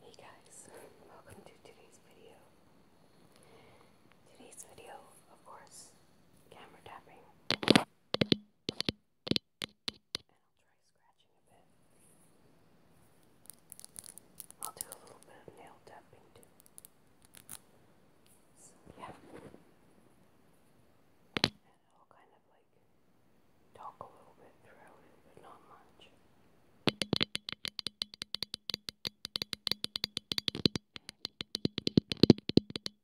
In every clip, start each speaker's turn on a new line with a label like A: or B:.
A: Hey guys, welcome to today's video. Today's video, of course, camera tapping. And I'll try scratching a bit. I'll do a little bit of nail tapping too. yeah. And I'll kind of like talk a little bit throughout but not much.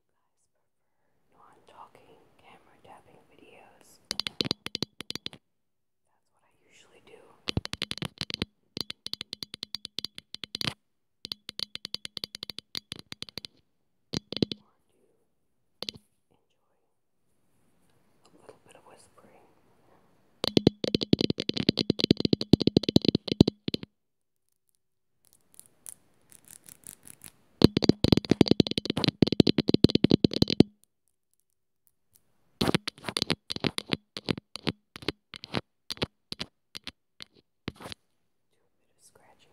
A: guys prefer non-talking, camera tapping videos, that's what I usually do. Or do enjoy a little bit of whispering bit of scratching.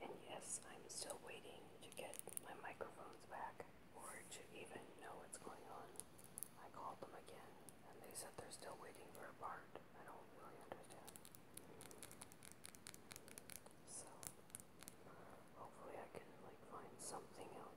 A: And yes, I'm still waiting to get my microphones back or to even know what's going on. I called them again and they said they're still waiting for a part. I don't really understand.
B: So, hopefully, I can like find something else.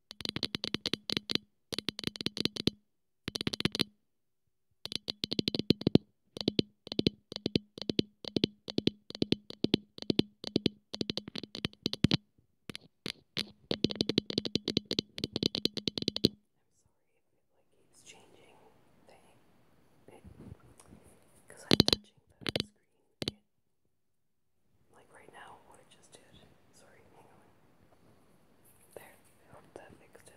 B: keeps changing thing because I'm touching the screen it. Like right now, what I just did. Sorry, hang on. There, I hope
A: that fixed it.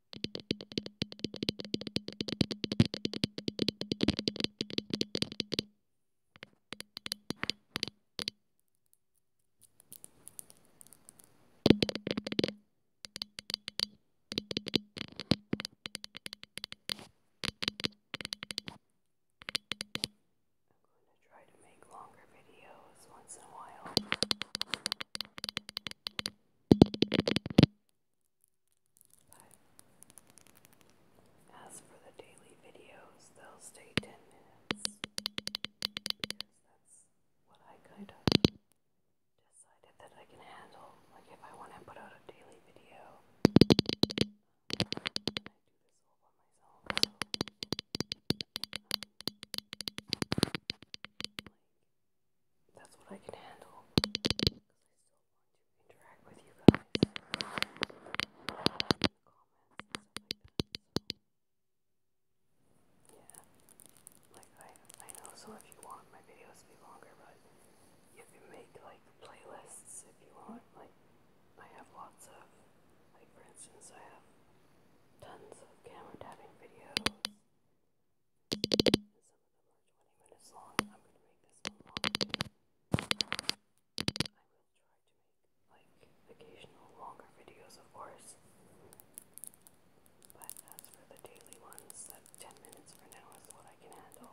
A: I'm going to try to make longer videos once in a while. But as for the daily videos, they'll stay 10 minutes because that's what I kind of decided that I can handle. Like, if I want to put out a daily video, I do this all by myself that's what I can handle. I still want to interact with you guys. yeah. Like, I, I know some of you want my videos to be longer, but you make, like, playlists if you want. Like, I have lots of, like, for instance, I have tons of camera tapping videos. some of them are 20 minutes long. I'm going to make this one longer. I will try to make like occasional longer videos, of course. But as for the daily ones, 10 minutes for now is what I can handle.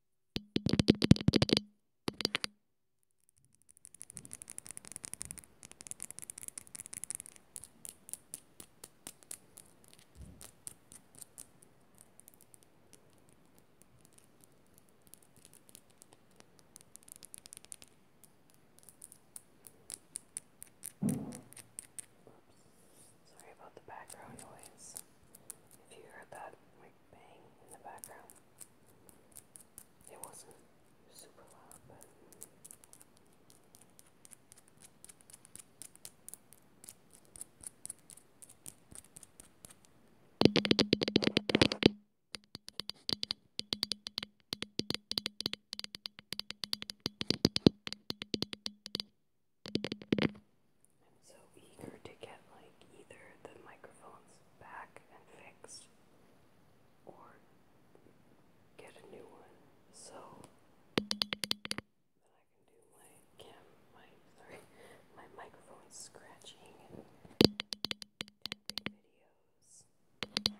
A: Sorry about the background noise. If you heard that, my bang in the background. It wasn't super loud, but
C: so eager to get like either the microphones back and fixed or get a new one so
D: that I can do my cam my sorry my microphone scratching and, and videos. When I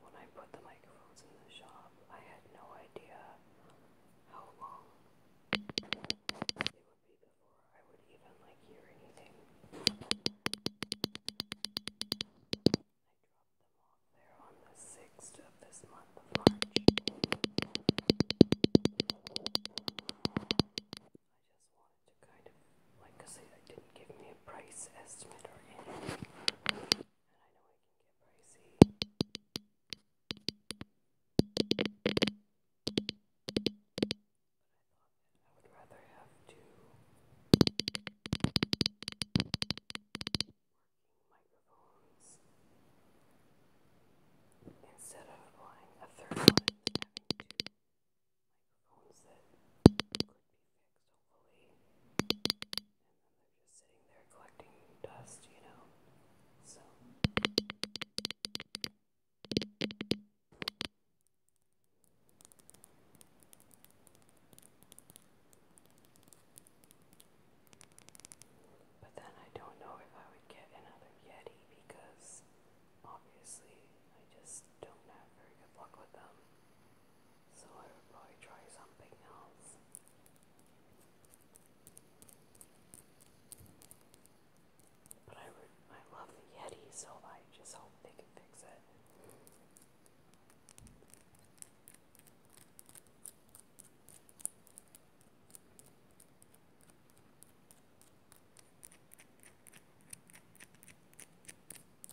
D: when I put the microphones in the shop, I had no idea how long it would be before I would even like hear anything. I dropped them off there on the 6th of this month of March. I just wanted to kind of, like, because they didn't give me a price estimate or anything. And I know I can get I thought
A: I would rather have two microphones instead of buying a third one and that could be fixed and then they're just sitting there collecting dust, you know? So. But then I don't know if I would get another Yeti because obviously I just don't have very good luck with them. So I would probably try something else. But I would, I love the Yeti, so I just hope they can fix it.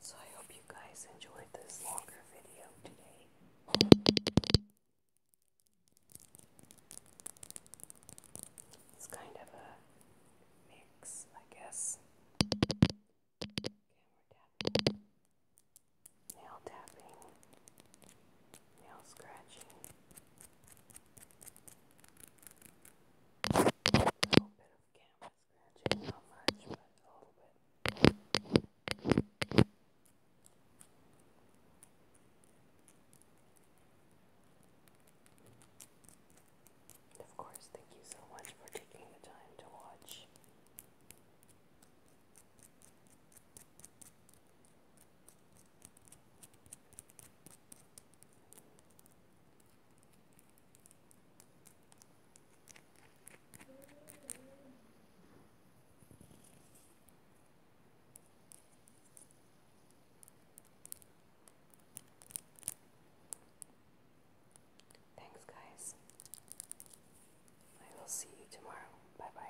E: So I hope you guys enjoyed this longer video today. It's kind of a mix, I guess. nail tapping, a little bit of camera scratching, not much, but a little bit. of course, thank you so much for taking the time to watch.
A: Thanks, guys. I will see you tomorrow. Bye bye.